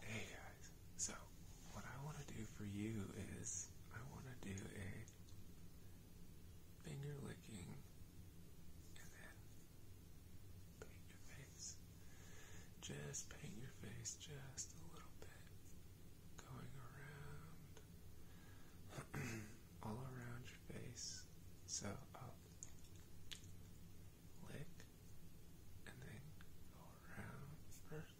Hey guys, so what I want to do for you is I want to do a finger licking and then paint your face. Just paint your face just a little bit. Going around, all around your face. So up, lick, and then go around first.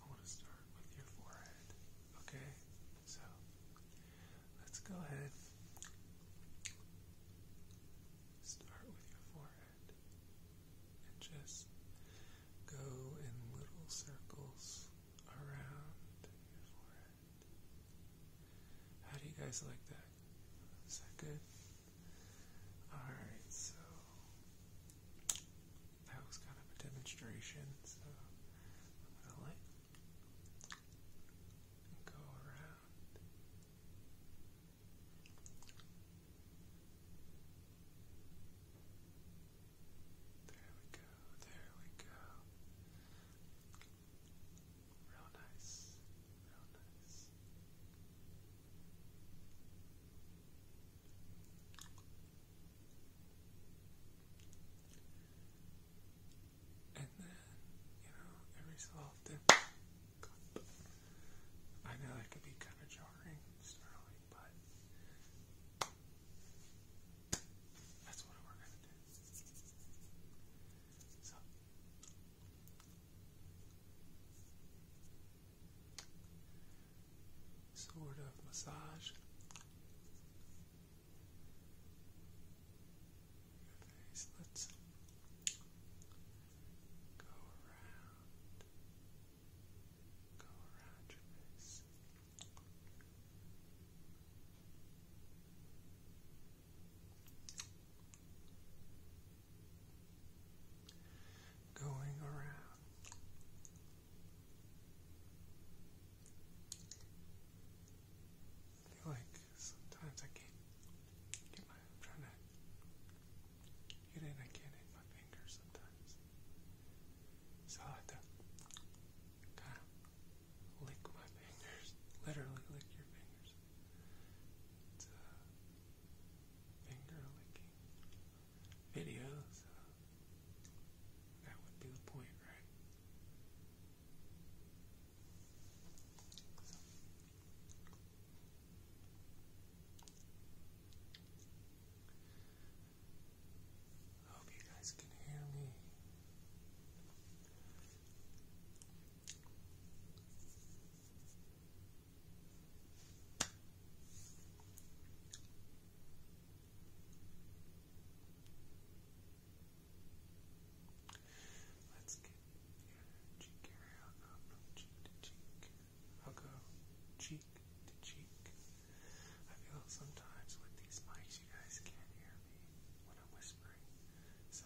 I want to start with your forehead, okay? So let's go ahead. Start with your forehead and just go in little circles around your forehead. How do you guys like that? Is that good? Alright, so that was kind of a demonstration, so I'm go around. There we go, there we go. Real nice. Real nice. And then, you know, every so often, I know that could be kind of jarring, startling, but that's what we're gonna Sort of massage Let's go around, go around your face going around. like sometimes I can't get my I'm trying to get in, I can my fingers sometimes. So I have to lick my fingers, literally lick your fingers. Uh, finger licking videos. Uh, that would be the point, right? hope you guys can hear me. Let's get your cheek area up cheek to cheek. I'll go cheek to cheek. I feel sometimes with these mics you guys can't hear me when I'm whispering. So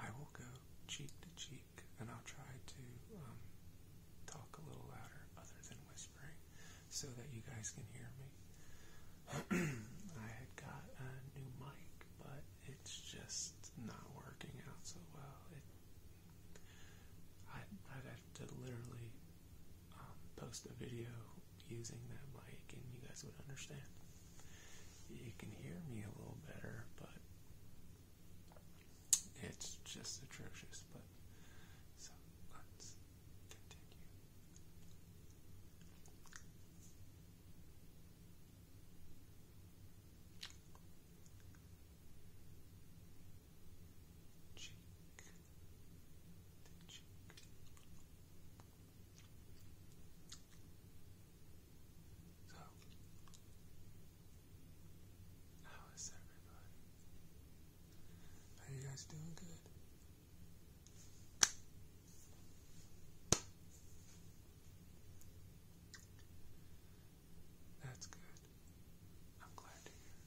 I will go cheek to cheek and I'll try to um, talk a little louder other than whispering so that you guys can hear me. I had got a new mic, but it's just not working out so well. It, i I'd have to literally um, post a video using that mic and you guys would understand. You can hear me a little better, but it's just atrocious. But so let's continue. cheek, cheek so, how is everybody? Are you guys doing good? That's good. I'm glad to hear.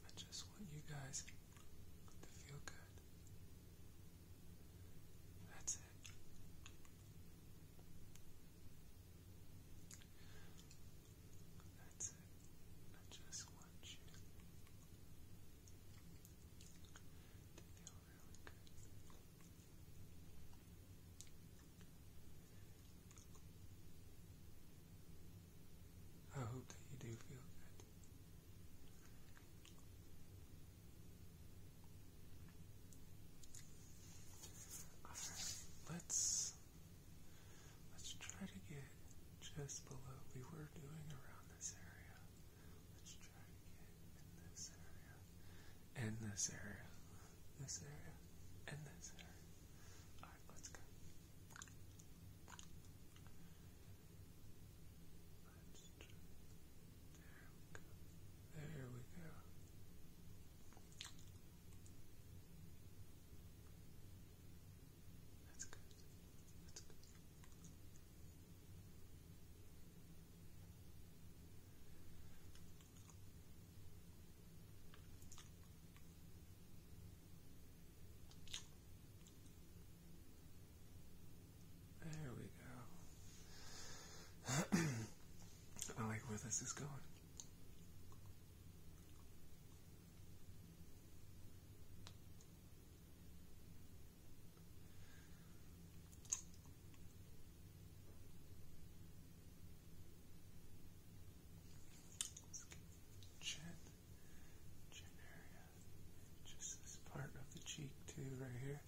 I just want you guys to feel good. That's it. That's it. I just want you to feel really good. I hope that you do feel good. Alright, let's let's try to get just below. We were doing around this area. Let's try to get in this area. In this area. This area. And this area. Alright, let's go. There we go. There we go. That's good. That's good. There we go. I like where this is going chin, chin area, just this part of the cheek too, right here.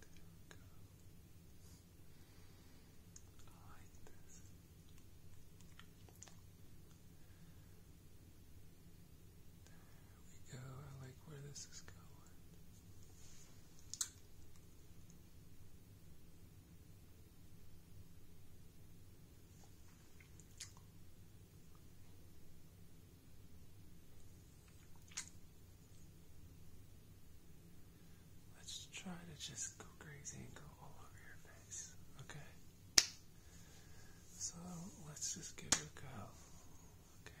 There we go. I like this. There we go. I like where this is going. Let's try to just go crazy and go all over your face, okay? So let's just give it a go, okay?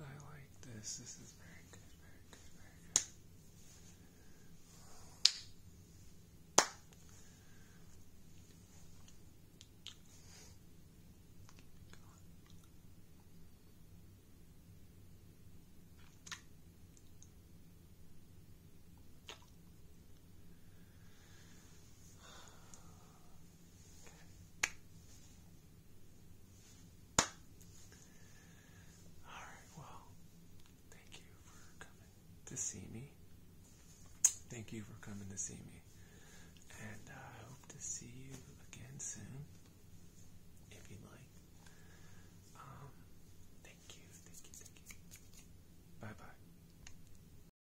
I like this. This is very good, very good, very good. All right, well, thank you for coming to see me. Thank you for coming to see me. And I hope to see you again soon if you'd like. Um, thank you, thank you, thank you. Bye bye.